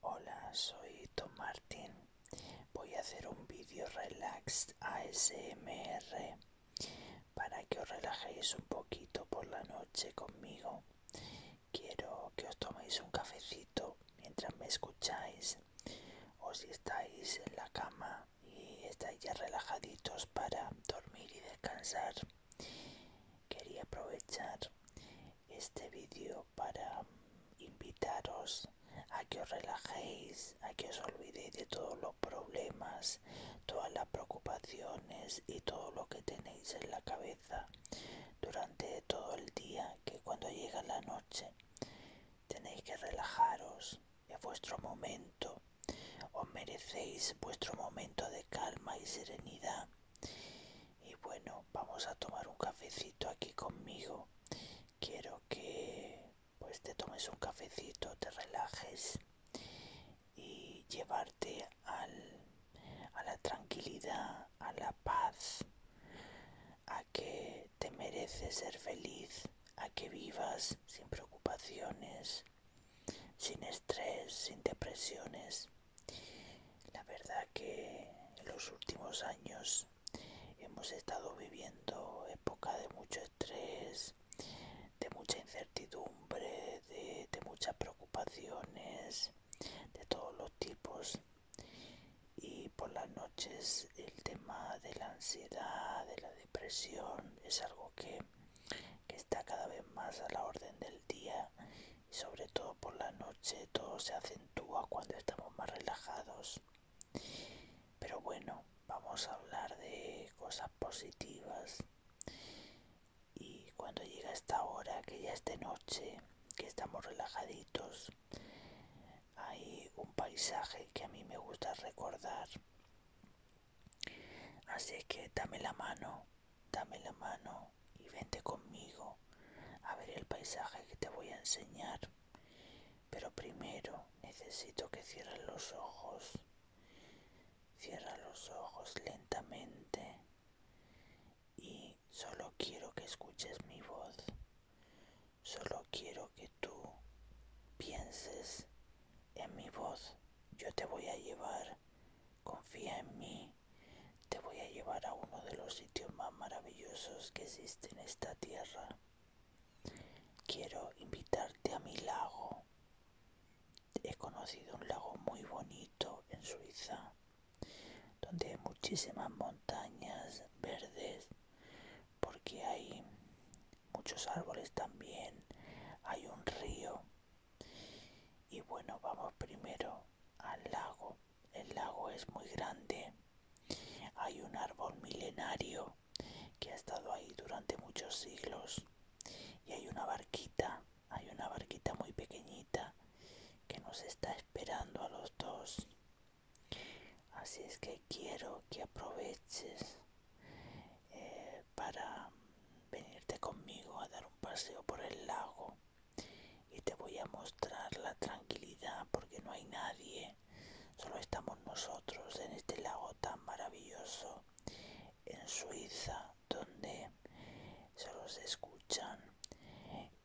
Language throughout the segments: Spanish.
Hola, soy Tom Martin. Voy a hacer un vídeo relax ASMR para que os relajéis un poquito por la noche conmigo. Quiero que os toméis un cafecito mientras me escucháis o si estáis en la cama y estáis ya relajaditos para dormir y descansar. Quería aprovechar este vídeo para mm, invitaros a que os relajéis, a que os olvidéis de todos los problemas, todas las preocupaciones y todo lo que tenéis en la cabeza durante todo el día, que cuando llega la noche tenéis que relajaros, es vuestro momento, os merecéis vuestro momento de calma y serenidad y bueno vamos a tomar un cafecito aquí conmigo quiero que pues, te tomes un cafecito te relajes y llevarte a la tranquilidad a la paz a que te mereces ser feliz a que vivas sin preocupaciones sin estrés sin depresiones la verdad que en los últimos años hemos estado viviendo época de mucho estrés, de mucha incertidumbre, de, muchas preocupaciones, de todos los tipos. Y por las noches el tema de la ansiedad, de la depresión, es algo que, que está cada vez más a la orden del día sobre todo por la noche todo se acentúa cuando estamos más relajados. Pero bueno, vamos a hablar de cosas positivas. Y cuando llega esta hora, que ya es de noche, que estamos relajaditos, hay un paisaje que a mí me gusta recordar. Así que dame la mano, dame la mano y vente conmigo a ver el paisaje que te voy a enseñar. Pero primero necesito que cierres los ojos. Cierra los ojos lentamente y solo quiero que escuches mi voz. Solo quiero que tú pienses en mi voz. Yo te voy a llevar Confía en mí. Te voy a llevar a uno de los sitios más maravillosos que existe en esta tierra. Quiero invitarte a mi lago. He conocido un lago muy bonito en Suiza, donde hay muchísimas montañas verdes, porque hay muchos árboles también, hay un río y bueno vamos primero al lago el lago es muy grande hay un árbol milenario que ha estado ahí durante muchos siglos y hay una barquita hay una barquita muy pequeñita que nos está esperando a los dos así es que quiero que aproveches eh, para venirte conmigo a dar un paseo por el lago y te voy a mostrar la tranquilidad porque no hay nadie, solo estamos nosotros en este lago tan maravilloso en Suiza donde solo se escuchan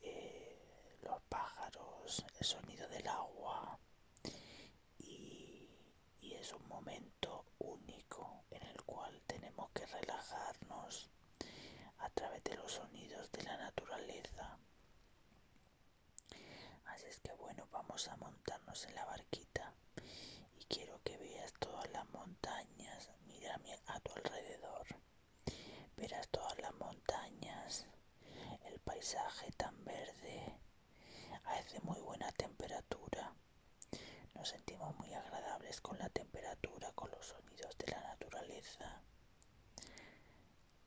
eh, los pájaros, el sonido del agua y, y es un momento único en el cual tenemos que relajarnos a través de los sonidos de la naturaleza. Así es que bueno, vamos a montarnos en la barquita y quiero que veas todas las montañas, mira a tu alrededor, verás todas las montañas, el paisaje tan verde, hace muy buena temperatura nos sentimos muy agradables con la temperatura, con los sonidos de la naturaleza.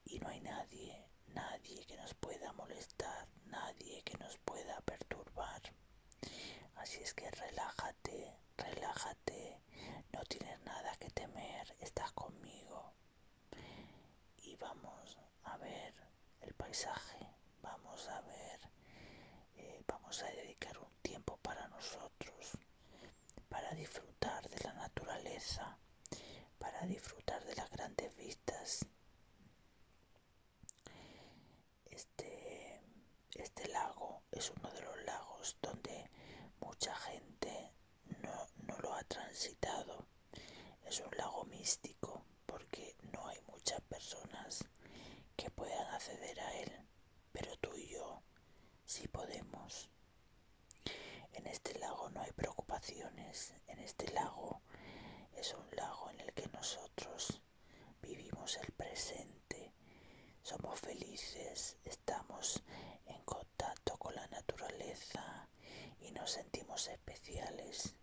Y no hay nadie, nadie que nos pueda molestar, nadie que nos pueda perturbar. Así es que relájate, relájate, no tienes nada que temer, estás conmigo. Y vamos a ver el paisaje, vamos a ver, eh, vamos a dedicar un tiempo para nosotros, para disfrutar de la naturaleza, para disfrutar de las grandes vistas. Este, este lago es uno de los lagos donde mucha gente no lo ha transitado. Es un lago místico porque no hay muchas personas que puedan acceder a él, pero tú y yo sí podemos. En este lago no hay preocupaciones, en este lago es un lago en el que nosotros vivimos el presente, somos felices, estamos en contacto con la naturaleza y nos sentimos especiales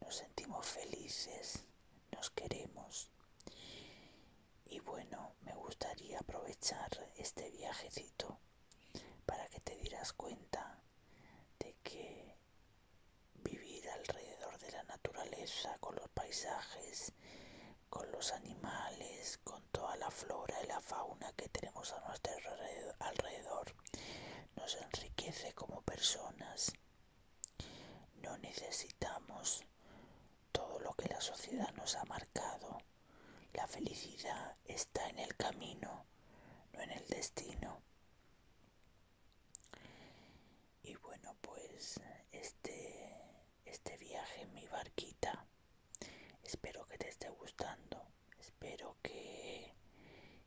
nos sentimos felices, nos queremos. Y bueno, me gustaría aprovechar este viajecito para que te dieras cuenta de que vivir alrededor de la naturaleza, con los paisajes, con los animales, con toda la flora y la fauna que tenemos a nuestro alrededor, nos enriquece como personas no necesitamos todo lo que la sociedad nos ha marcado. La felicidad está en el camino, no en el destino. Y bueno, pues este, este viaje en mi barquita, espero que te esté gustando, espero que,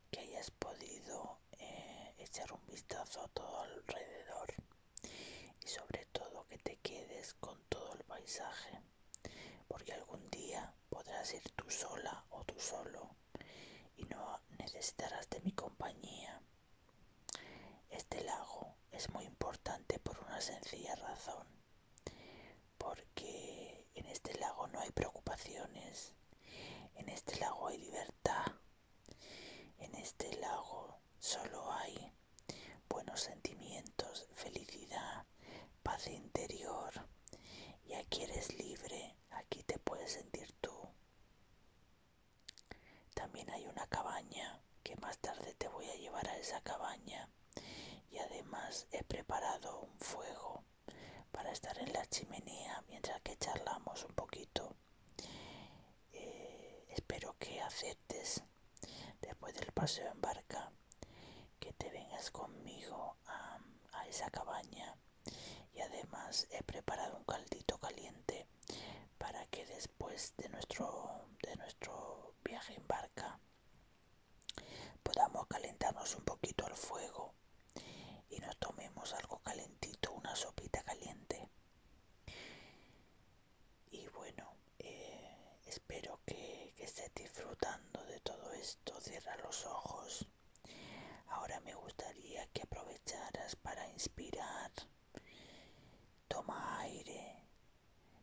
que hayas podido eh, echar un vistazo a todo alrededor y sobre todo que te quedes con todo el paisaje porque algún día podrás ir tú sola o tú solo y no necesitarás de mi compañía. Este lago es muy importante por una sencilla razón, porque en este lago no hay preocupaciones, en este lago hay libertad. En este lago solo hay buenos sentimientos, felicidad, paz interior. Y aquí eres libre, aquí te puedes sentir tú. También hay una cabaña, que más tarde te voy a llevar a esa cabaña. Y además he preparado un fuego para estar en la chimenea mientras que charlamos un poquito. Eh, espero que aceptes después del paseo en barca que te vengas conmigo a, a esa cabaña y además he preparado un caldito caliente para que después de nuestro de nuestro viaje en barca podamos calentarnos un poquito al fuego y nos tomemos algo calentito, una sopita caliente. Y bueno, eh, espero que, estés disfrutando de todo esto. Cierra los ojos. Ahora me gustaría que aprovecharas para inspirar. Toma aire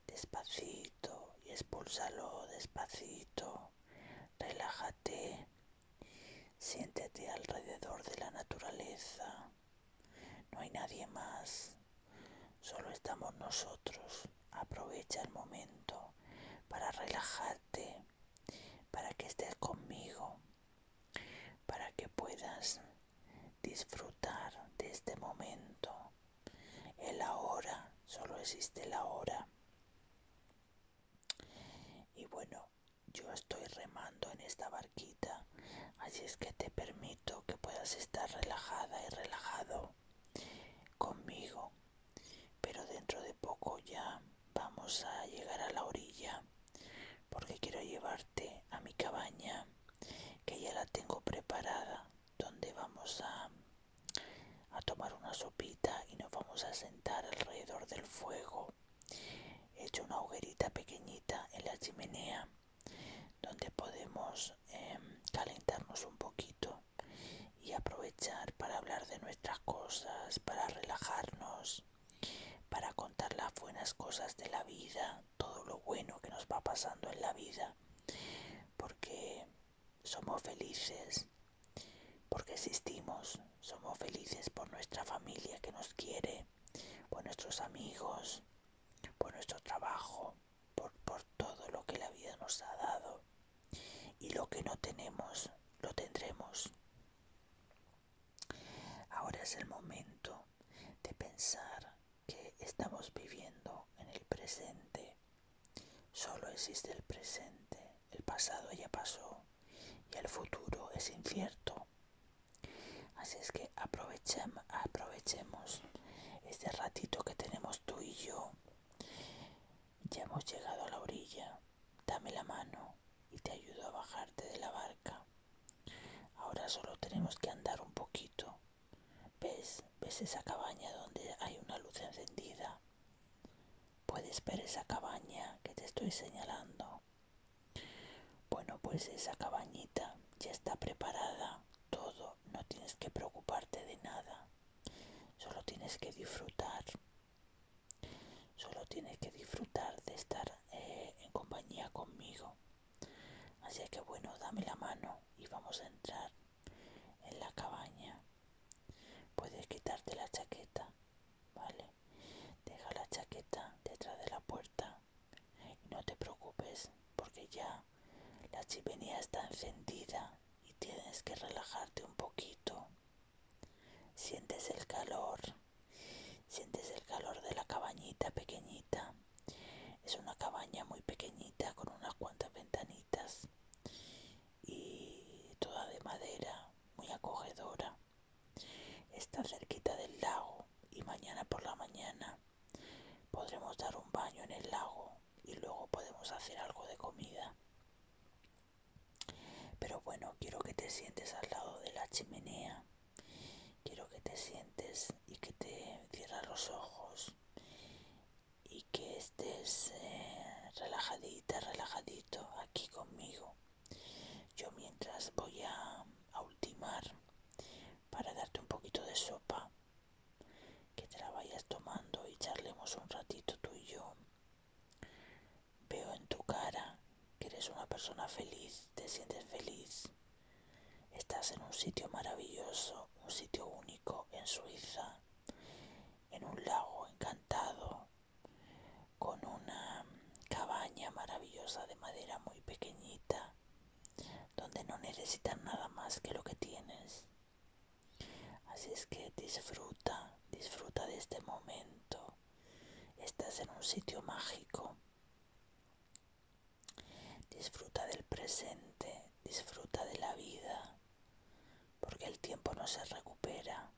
despacito y expulsalo despacito. Relájate Siéntate, siéntete alrededor de la naturaleza. No hay nadie más, solo estamos nosotros. Aprovecha el momento para relajarte, para que estés conmigo, para que puedas disfrutar de este momento. El ahora, solo existe el ahora. Y bueno, yo estoy remando en esta barquita, así es que te permito que puedas estar relajada y relajado conmigo. Pero dentro de poco ya vamos a llegar a la orilla, porque quiero llevarte a mi cabaña, que ya la tengo preparada, donde vamos a a tomar una sopita y nos vamos a sentar alrededor del fuego. He hecho una hoguerita pequeñita en la chimenea donde podemos em, calentarnos un poquito y aprovechar para hablar de nuestras cosas, para relajarnos, para contar las buenas cosas de la vida, todo lo bueno que nos va pasando en la vida, porque somos felices porque existimos, somos felices por nuestra familia que nos quiere, por nuestros amigos, por nuestro trabajo, por, todo lo que la vida nos ha dado. Y lo que no tenemos, lo tendremos. Ahora es el momento de pensar que estamos viviendo en el presente Solo existe el presente, el pasado ya pasó y el futuro es incierto. Así es que aprovechemos este ratito que tenemos tú y yo. Ya hemos llegado a la orilla. Dame la mano y te ayudo a bajarte de la barca. Ahora solo tenemos que andar un poquito. ¿Ves? ¿Ves esa cabaña donde hay una luz encendida? Puedes ver esa cabaña que te estoy señalando. Bueno, pues esa cabañita ya está preparada, todo, no tienes que preocuparte de nada, solo tienes que disfrutar, solo tienes que disfrutar de estar eh, en compañía conmigo. Así que bueno, dame la mano y vamos a entrar en la cabaña. Puedes quitarte la chaqueta, ¿vale? Deja la chaqueta detrás de la puerta no te preocupes porque ya la chimenea está encendida y tienes que relajarte un poquito. Sientes el calor, sientes el calor de la cabañita pequeñita. Es una cabaña muy pequeñita con unas cuantas ventanitas y toda de madera, muy acogedora. Está cerquita del lago y mañana por la mañana podremos dar un baño en el lago y luego podemos hacer algo de comida. Pero bueno, quiero que te sientes al lado de la chimenea. Quiero que te sientes y que te cierras los ojos y que estés eh, relajadita, relajadito aquí conmigo. Yo mientras voy a ultimar para darte un poquito de sopa, que te la vayas tomando y charlemos un ratito tú y yo. Veo en tu cara que eres una persona feliz, te sientes feliz. Estás en un sitio maravilloso, un sitio único en Suiza, en un lago encantado, con una cabaña maravillosa de madera muy pequeñita, donde no necesitas nada más que lo que tienes. Así es que disfruta, disfruta de este momento. Estás en un sitio mágico. Disfruta del presente, disfruta de la vida, porque el tiempo no se recupera.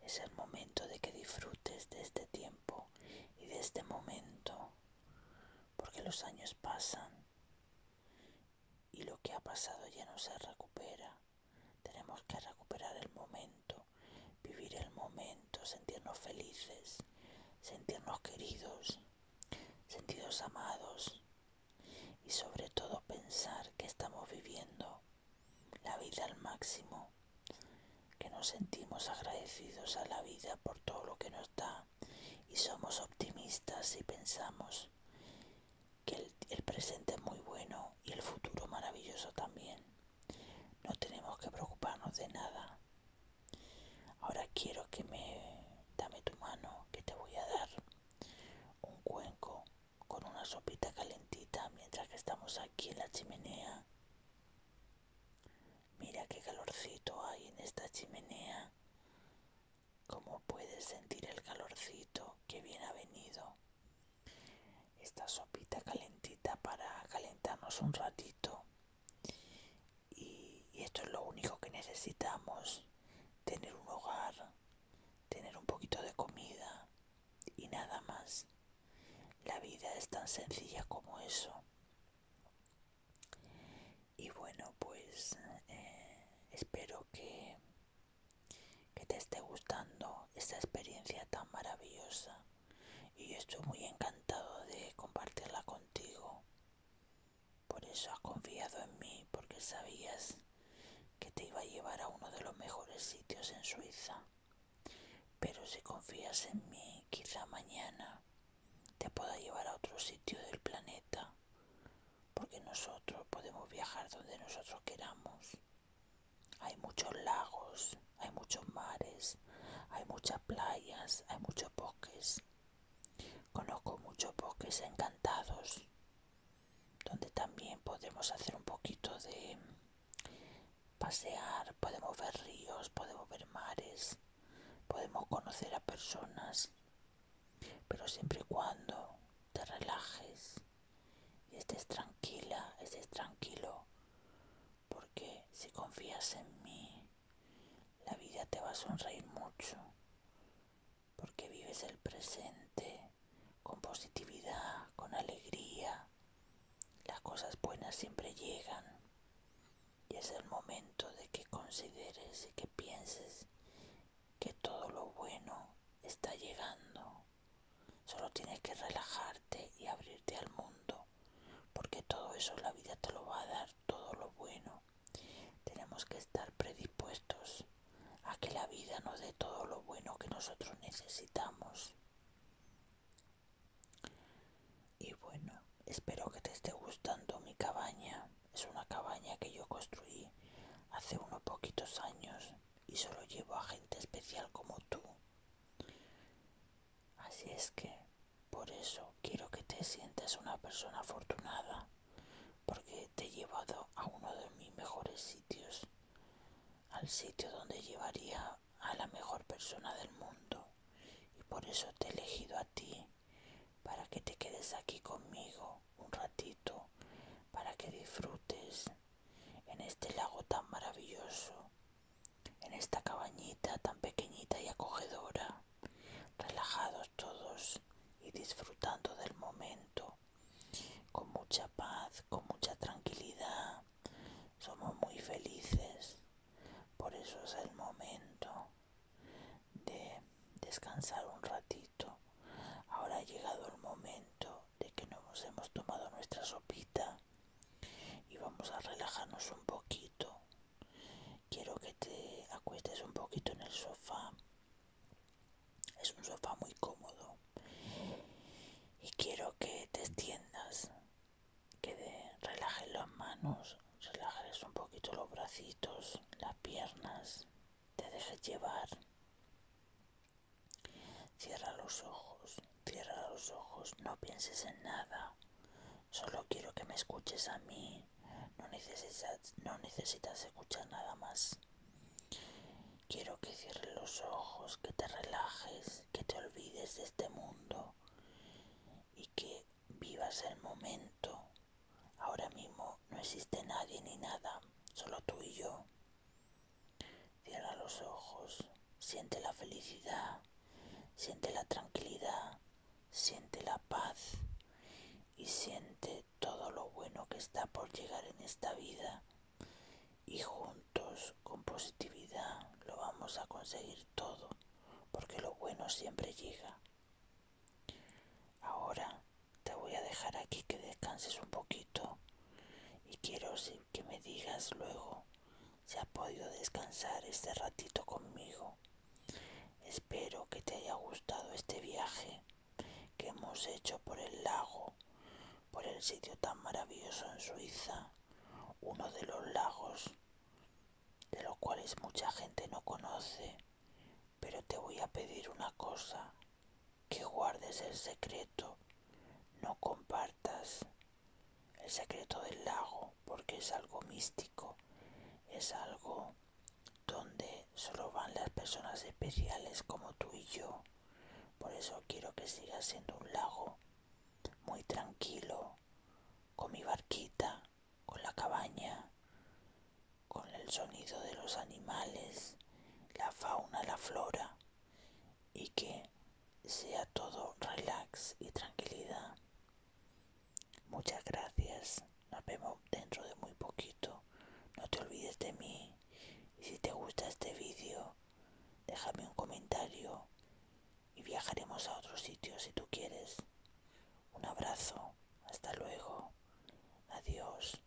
Es el momento de que disfrutes de este tiempo y de este momento, porque los años pasan y lo que ha pasado ya no se recupera. Tenemos que recuperar el momento, vivir el momento, sentirnos felices, sentirnos queridos sentidos amados y sobre todo pensar que estamos viviendo la vida al máximo, que nos sentimos agradecidos a la vida por todo lo que nos da y somos optimistas y pensamos que el, presente es muy bueno y el futuro maravilloso también. No tenemos que preocuparnos de nada. Ahora quiero que me dame tu mano, que te voy a dar un cuenco con una sopita calentita mientras que estamos aquí en la chimenea. Mira qué calorcito hay en esta chimenea. como puedes sentir el calorcito que bien ha venido? Esta sopita calentita para calentarnos un ratito y, esto es lo único que necesitamos, tener un hogar, tener un poquito de comida y nada más. La vida es tan sencilla como eso. Y bueno, pues eh, espero que te esté gustando esta experiencia tan maravillosa y estoy muy encantado de compartirla contigo. Por eso has confiado en mí, porque sabías que te iba a llevar a uno de los mejores sitios en Suiza. Pero si confías en mí, quizá mañana te pueda llevar a otro sitio del planeta, porque nosotros podemos viajar donde nosotros queramos. Hay muchos lagos, hay muchos mares, hay muchas playas, hay muchos bosques. Conozco muchos bosques encantados, donde también podemos hacer un poquito de pasear, podemos ver ríos, podemos ver mares, podemos conocer a personas, pero siempre y cuando te relajes y estés tranquila, estés tranquilo, porque si confías en mí, la vida te va a sonreír mucho porque vives el presente con positividad, con alegría. Las cosas buenas siempre llegan y es el momento de que consideres y que pienses que todo lo bueno está llegando. Solo tienes que relajarte y abrirte al mundo porque todo eso la vida te lo va a dar, todo lo bueno. Tenemos que estar predispuestos a que la vida nos dé todo lo bueno que nosotros necesitamos. Y bueno, espero que te esté gustando mi cabaña. Es una cabaña que yo construí hace unos poquitos años y solo llevo a gente especial como tú. Así es que, por eso quiero que te sientas una persona afortunada, porque te he llevado a uno de mis mejores sitios, al sitio donde llevaría a la mejor persona del mundo, y por eso te he elegido a ti, para que te quedes aquí conmigo un ratito, para que disfrutes en este lago tan maravilloso en esta cabañita tan pequeñita y acogedora, relajados todos y disfrutando del momento, con mucha paz, con mucha tranquilidad. Somos muy felices, por eso es el momento de descansar un ratito. Ahora ha llegado el momento de que nos hemos tomado nuestra sopita y vamos a relajarnos un poquito. Quiero que te acuestes un poquito en el sofá. Es un sofá muy cómodo. Y quiero que te extiendas, que relajes las manos, relajes un poquito los bracitos, las piernas, te dejes llevar. Cierra los ojos, cierra los ojos, no pienses en nada. Solo quiero que me escuches a mí. No necesitas, escuchar nada más. Quiero que cierres los ojos, que te relajes, que te olvides de este mundo y que vivas el momento. Ahora mismo no existe nadie ni nada, solo tú y yo. Cierra los ojos, siente la felicidad, siente la tranquilidad, siente la paz y siente todo lo bueno que está por llegar en esta vida. Y juntos, con positividad, lo vamos a conseguir todo, porque lo bueno siempre llega. Ahora te voy a dejar aquí que descanses un poquito y quiero que me digas luego si ha podido descansar este ratito conmigo. Espero que te haya gustado este viaje que hemos hecho por el lago, por el sitio tan maravilloso en Suiza, uno de los lagos de los cuales mucha gente no conoce. Pero te voy a pedir una cosa que guardes el secreto, no compartas el secreto del lago, porque es algo místico, es algo donde solo van las personas especiales como tú y yo. Por eso quiero que sigas siendo un lago muy tranquilo, con mi barquita, con la cabaña, con el sonido de los animales, la fauna, la flora y que sea todo relax y tranquilidad. Muchas gracias. Nos vemos dentro de muy poquito. No te olvides de mí. Y si te gusta este vídeo, déjame un comentario y viajaremos a otros sitio si tú quieres. Un abrazo. Hasta luego. Adiós.